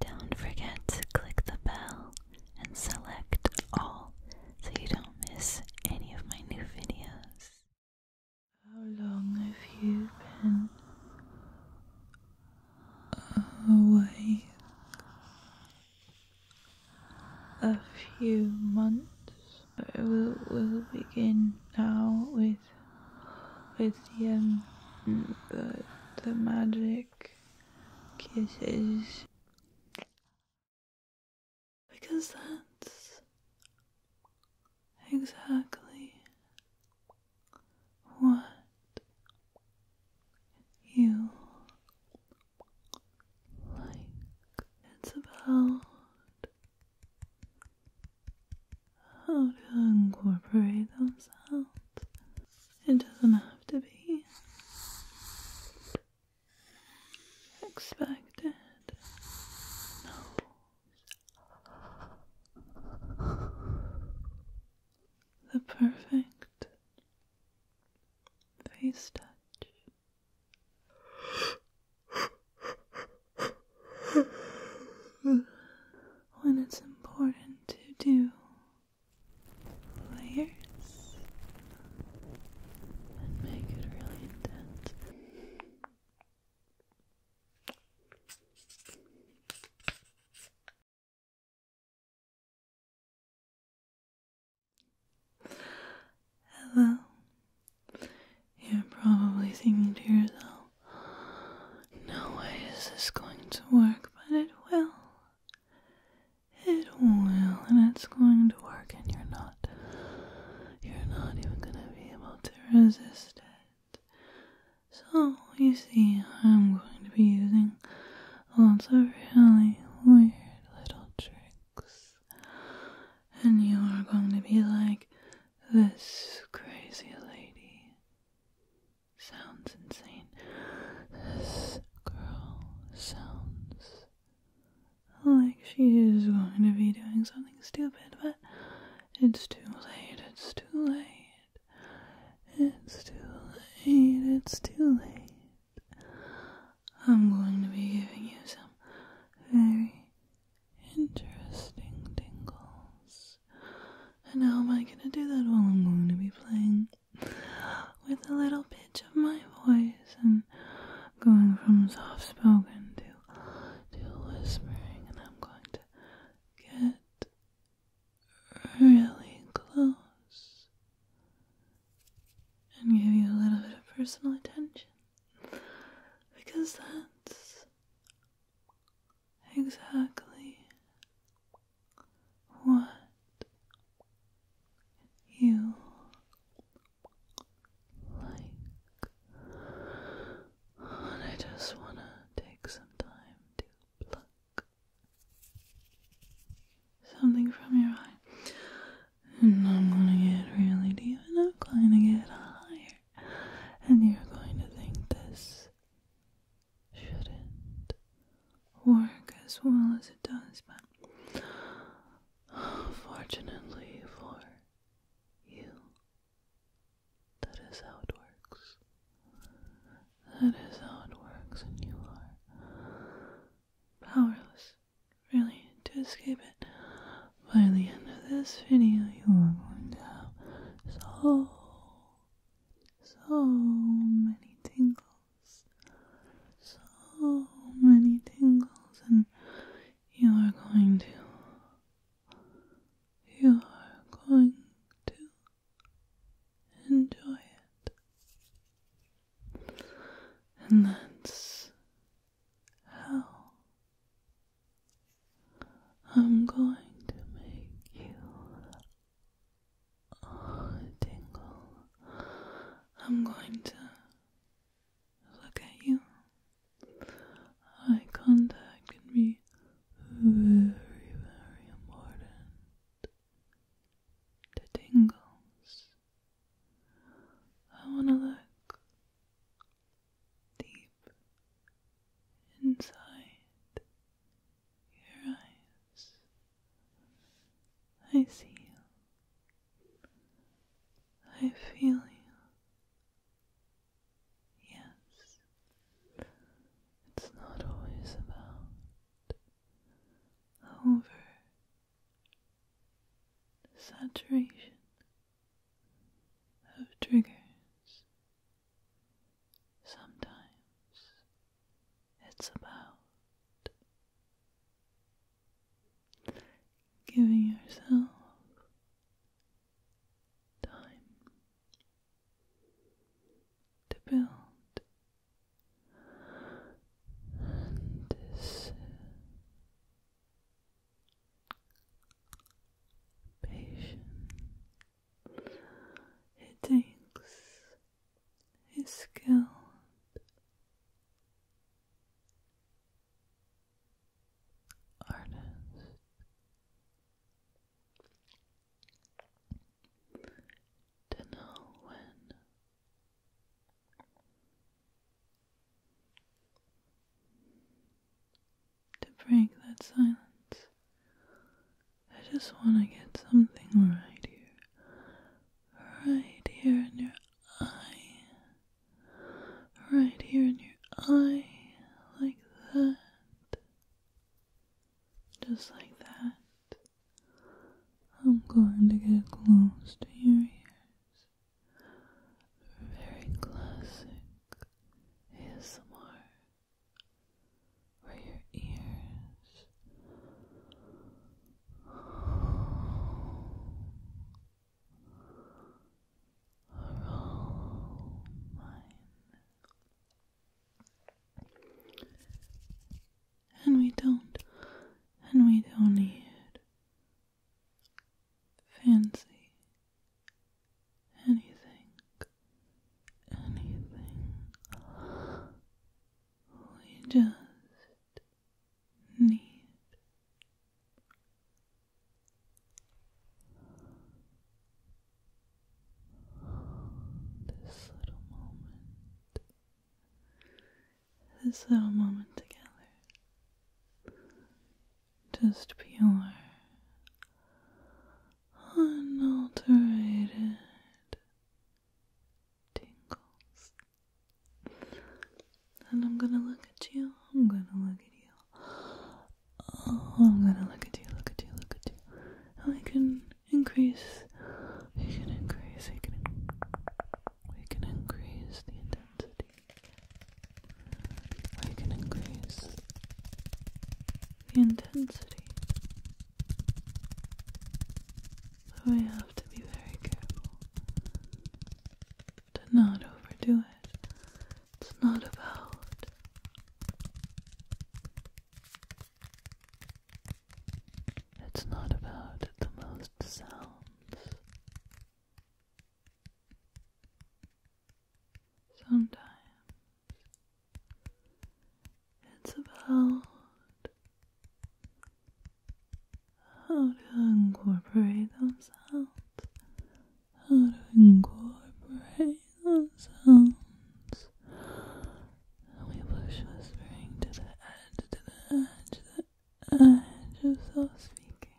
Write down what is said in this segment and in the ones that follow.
Don't forget to click the bell and select all so you don't miss any of my new videos. How long have you been away? A few months. we'll, begin now with with the, um, the, the magic kisses because that's exactly what you like. It's about how to incorporate those out it doesn't have to be expected. The perfect face touch when it's important to do layers and make it really intense. Hello. You're probably thinking to yourself, no way is this going to work, but it will. It will, and it's going to work, and you're not. You're not even gonna be able to resist it. So, you see, I'm going to be using lots of really weird little tricks. And you are going to be like this crazy lady sounds insane. This girl sounds like she is going to be doing something stupid, but it's too late, it's too late. It's too late, it's too late. I'm going to be giving you some very interesting tingles. And how am I gonna do that while I'm going to be playing with a little pitch of my voice and going from soft spoken to to whispering and I'm going to get really close and give you a little bit of personal attention because that's exactly what you like. I just want to take some time to pluck something from your eye. And I'm going to get really deep and I'm going to get higher. And you're going to think this shouldn't work as well as it does, but fortunately for you, that is how it works. That is how it works, and you are powerless, really, to escape it. By the end of this video, you are going to have so so many tingles, so many tingles, and you are going to, you are going to enjoy it. And that's how I'm going to make you tingle. I'm going to look at you. Eye contact can be very, very important to tingles. I want to look deep inside your eyes. I see you. I feel you. Yes, it's not always about over saturation of triggers Sometimes it's about giving yourself time to build this patience it takes his skill, Artist to know when to break that silence. I just want to get something right here. Right here in your eye. Right here in your eye. Like that. Just like that. I'm going to get close to your ears. Very classic ASMR where your ears are all mine. And we don't, and we don't need fancy anything, anything. We just need this little moment, this little moment together just pure, unaltered tingles. And I'm gonna look at you, I'm gonna look at you, oh, I'm gonna look at you, look at you, look at you. And we can increase, we can increase, we can, we can increase the intensity. I can increase the intensity. So have to be very careful to not overdo it. It's not about it's not about the most sounds. Sometimes it's about how to incorporate those sounds, how to incorporate those sounds. And we push whispering to the edge, to the edge, to the edge of self speaking.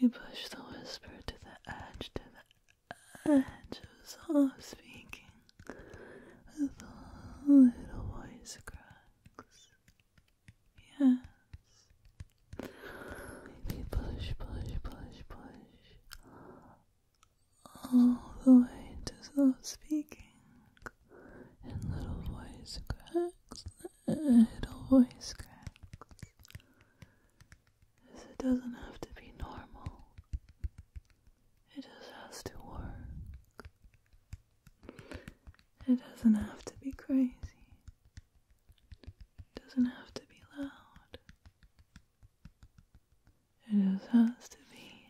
We push the whisper to the edge, to the and just off speaking with all little voice cracks. Yes. Maybe push, push, push, push. All the way to soft speaking. And little voice cracks, little voice cracks it doesn't have to be normal, it just has to work. It doesn't have to be crazy, it doesn't have to be loud, it just has to be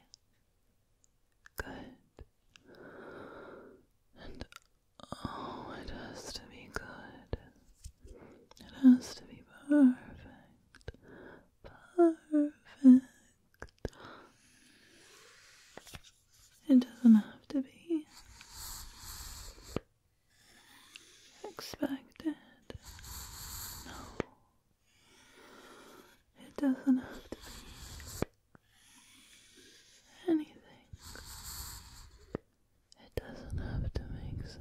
good. And oh, it has to be good. It has to be perfect. Perfect. It doesn't have to be expected. No. It doesn't have to be anything it doesn't have to make sense.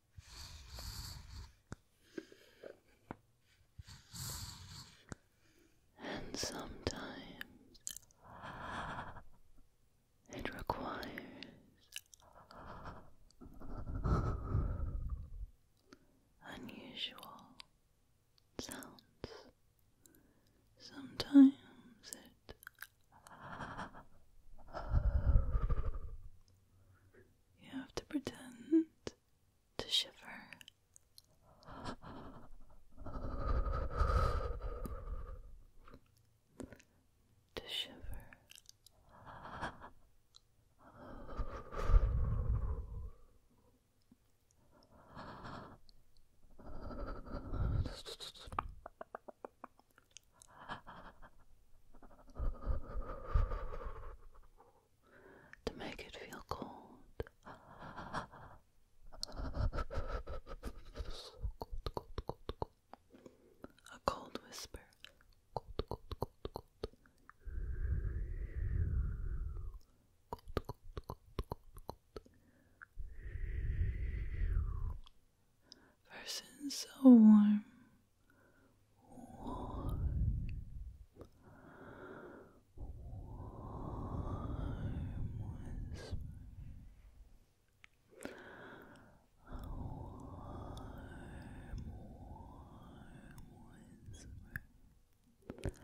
And sometimes it requires unusual sounds. Sometimes it you have to pretend to shiver. To shiver to make it feel cold. A cold whisper. Cold, cold, cold, cold. Cold, cold, cold, cold, cold. Versus so warm, warm, warm whisper. A warm, warm whisper.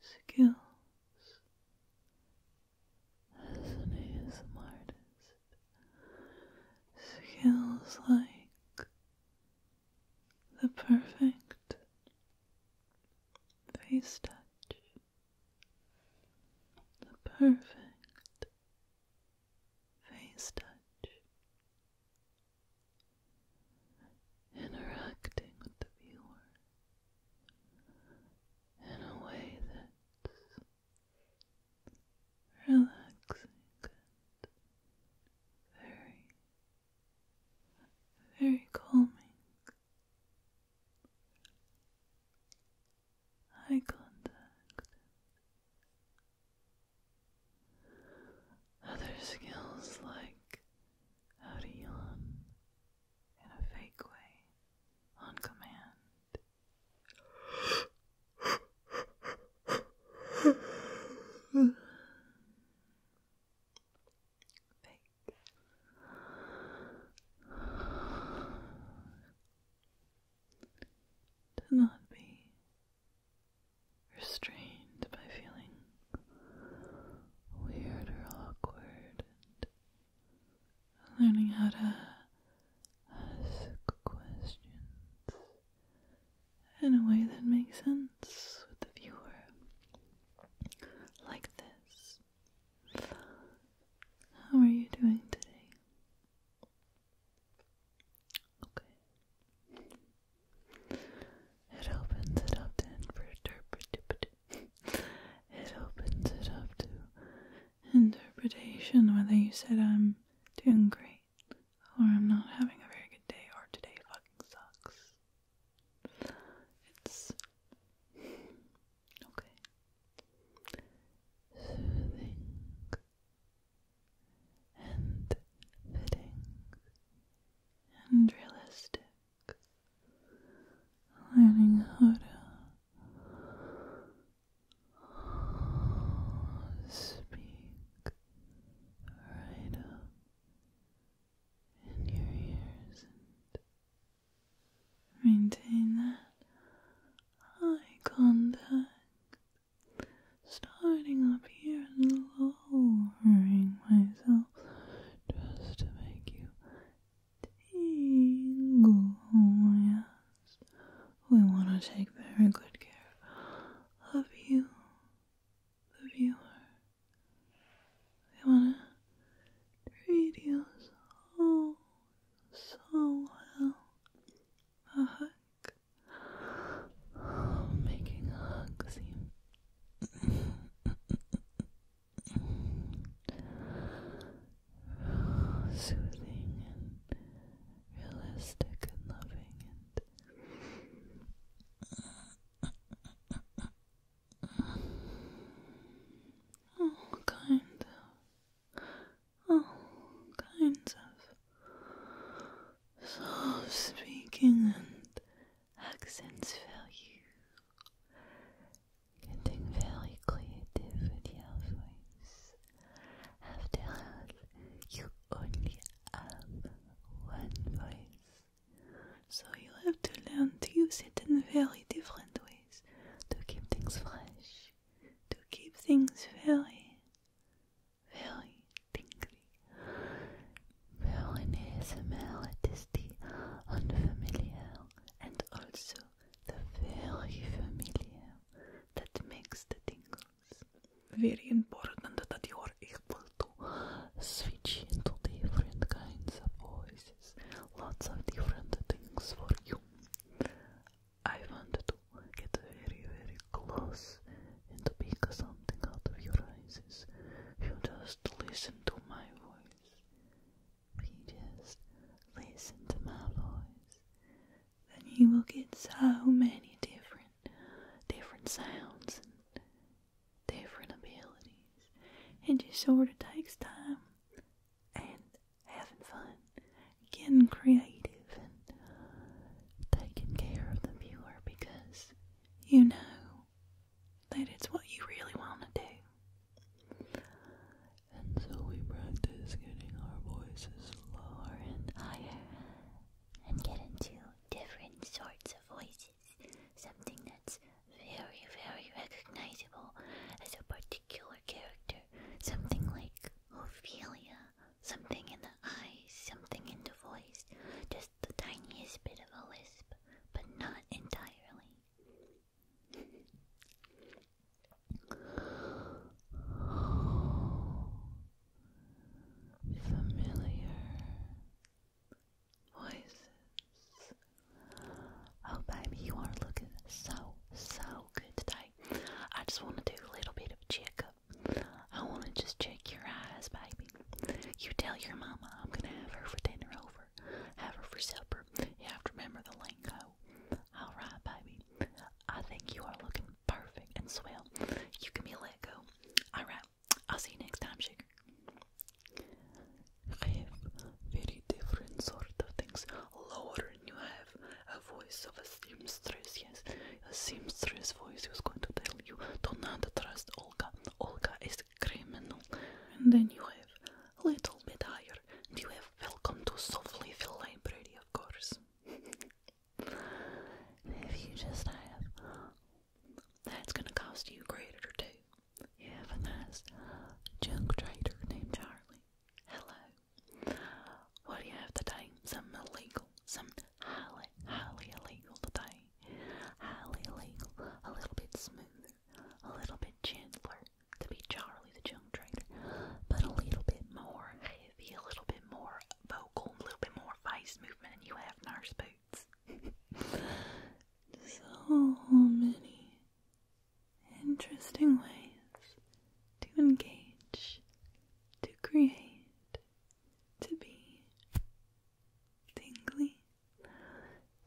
skills as an ASM artist. Skills like the perfect face touch, the perfect face touch, interacting with the viewer in a way that's relaxing very, very calming. Eye contact. Other skills like Hurry in a fake way on command. fake. Do not be restrained by feeling weird or awkward learning how to ask questions in a way that makes sense with the viewer. Like this. How are you doing today? Okay. It opens it up then for interpretive it opens it up to interpretation whether you said I'm doing great or I'm not having a very good day or today fucking sucks. It's okay. Soothing and fitting and realistic learning how to speak right in your ears and maintain that eye contact, starting up here and lowering myself just to make you tingle. yes, we want to take very good care of you, the viewer. We want to treat you so, so well. A hug, making a hug seem soothing and realistic and loving and all kinds of all kinds of soft speaking and accents value getting very creative with your voice. After all, you only have one voice, so you have to learn to use it in very different ways to keep things fresh, to keep things very, very tingly. Where in ASMR it is the unfamiliar and also the very familiar that makes the tingles. Very important that you are able to switch into different kinds of voices. Lots of different things for you. I want to get very, very close and pick something out of your eyes. You just listen to my voice you just listen to my voice, then you will get so many different, different sounds and different abilities. It just sort of takes time and having fun, getting creative, and taking care of the viewer because you know that it's what you really want to do. And so we practice getting our voices lower and higher and get into different sorts of voices. Something that's very, very recognizable as a particular character. Something like Ophelia, something in the eyes, something in the voice, the tiniest bit of a lisp, but not entirely. Familiar voices. Oh, baby, you are looking so, so good today. I just want to do a little bit of checkup. I want to just check your eyes, baby. You tell your mama I'm gonna have her for dinner over, have her for supper. You have to remember the lingo. All right, baby. I think you are looking perfect and swell. You can be let go. All right. I'll see you next time, sugar. I have very different sort of things. Lower, and you have a voice of a seamstress. Yes, a seamstress voice who's going to tell you do not trust Olga. Olga is criminal, and then you have a little bit higher, and you have welcome to Softlyville Library, of course. if you just have, that's gonna cost you a grade or two. You have a nice junk trader named Charlie. Hello. What do you have today? Some illegal, some highly, highly illegal today highly illegal, a little bit smoother, a little bit gentler to be Charlie the Junk Trader, but a little bit more heavy, a little bit more vocal, a little bit more vice movement, and you have nurse boots. so many interesting ways to engage, to create, to be tingly,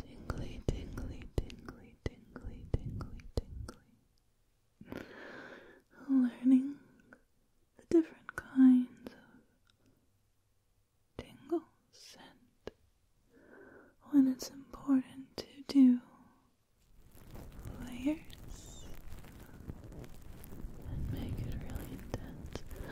Tingly, tingly, tingly, tingly, tingly, tingly. Learning the different kinds of tingle scent when it's important to do layers and make it really intense.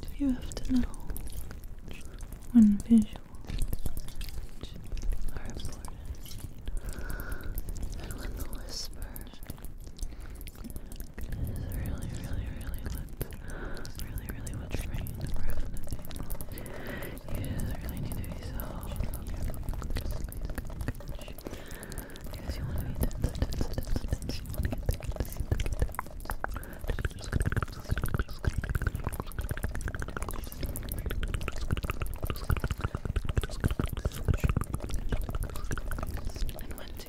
Just you have to know when visuals are important and when the whisper is really, really, really lit, really, really what's ringing You really need to be so because you want to be tense, tense, tense, You want to get tense, get tense, And one, two.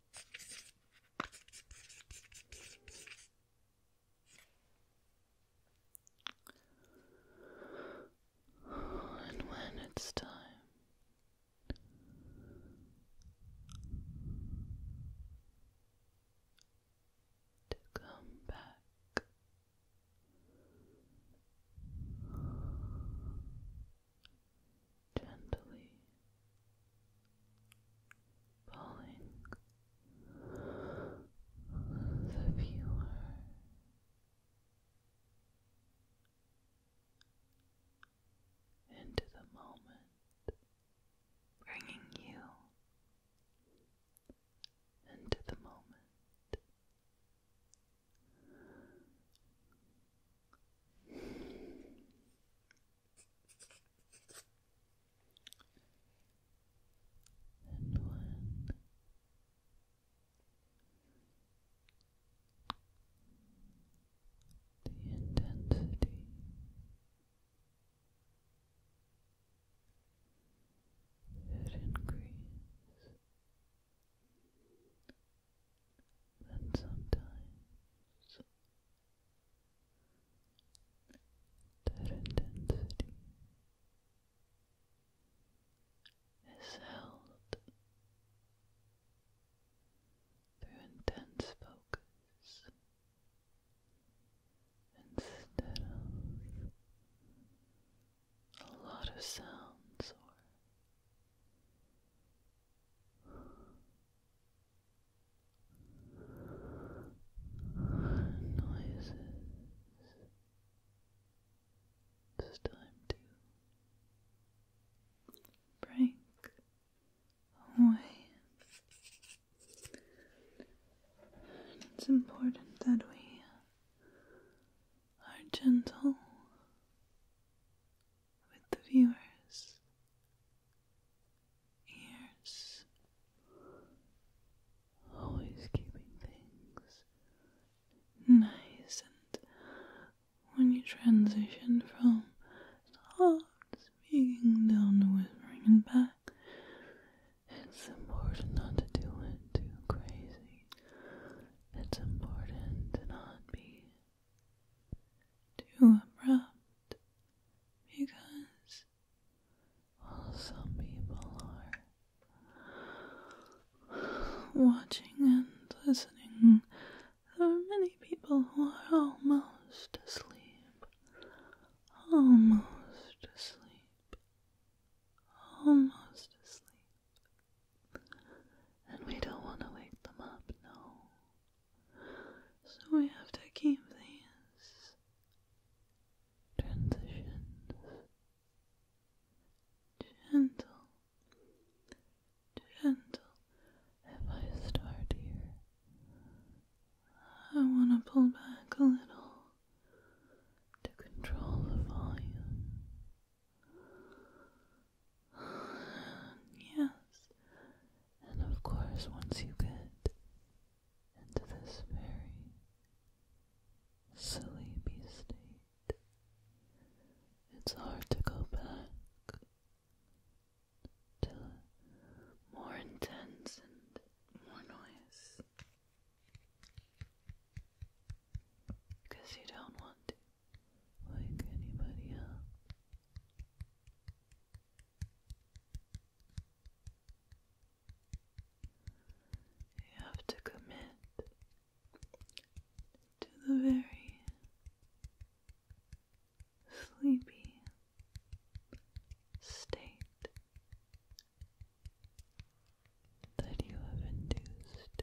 And when it's time to come back, gently pulling the viewer into the moment, bringing you into the moment and one. The intensity should increase and sometimes their intensity is held through intense focus instead of a lot of sounds or noises. It's time to break away. it's important that we are gentle with the viewers' ears, always keeping things nice. And when you transition from soft speaking down to whispering and back, it's important not to do it too crazy. It's important to not be too abrupt because, well, some people are watching and listening. There are many people who are almost asleep, almost asleep, almost asleep. And we don't want to wake them up, no. So we have to keep these transitions gentle, gentle. If I start here, I want to pull back a little to control the volume yes, and of course, once you get into this very sleepy state, it's hard to go back to more intense and more noise because you don't want like anybody else. You have to commit to the very sleepy state that you have induced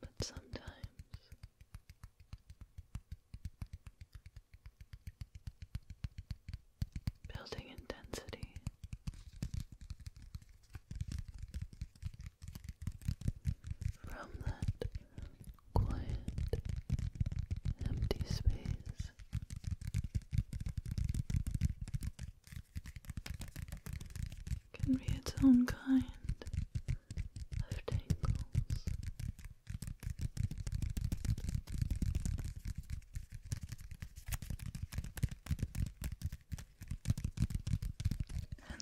but sometimes building intensity from that quiet, empty space can be its own kind of tangles.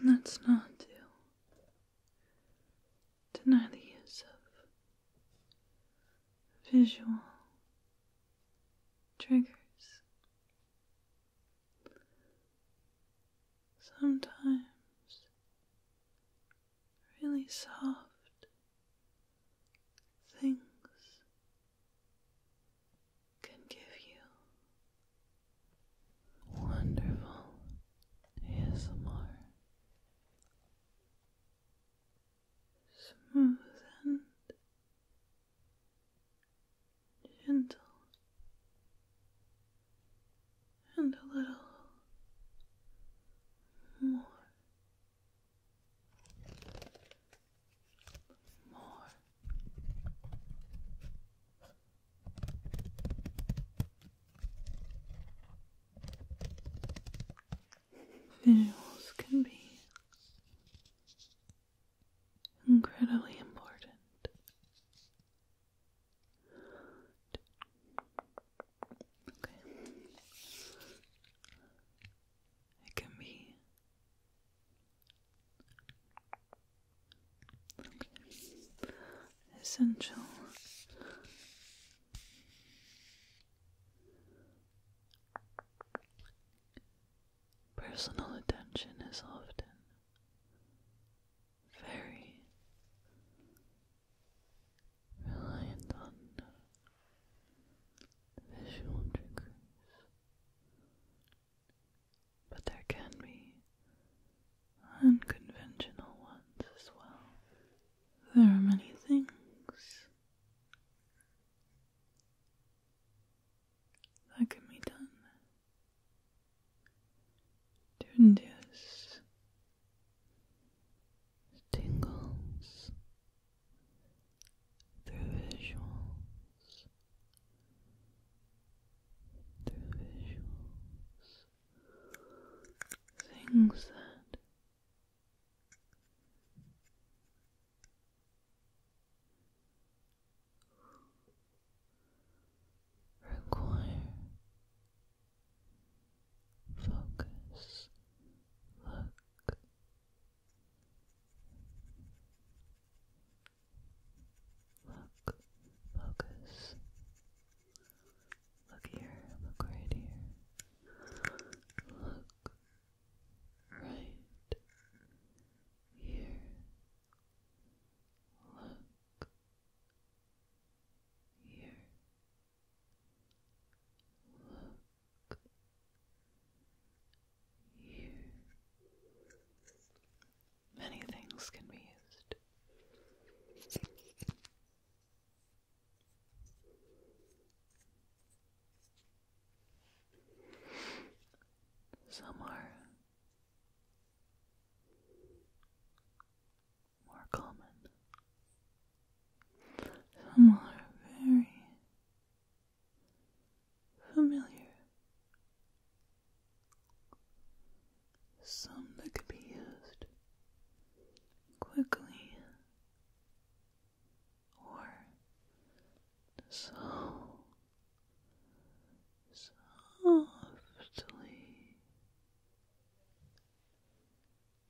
And that's not you deny the use of visual triggers. Sometimes really soft things can give you wonderful ASMR smooth and gentle and a little more. More visuals can be incredibly important. Okay. It can be essential Personal attention is often very reliant on visual triggers, but there can be unconventional ones as well. There are many things that can be done to induce tingles through visuals, through visuals, things that require focus look look focus Look here, look right here. Look right here. Look here. Look here. Many things can be used. Some are more common. Some are very familiar. Some that could be used quickly or softly.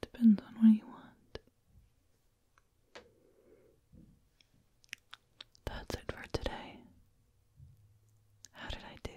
Depends on what you want. That's it for today. How did I do?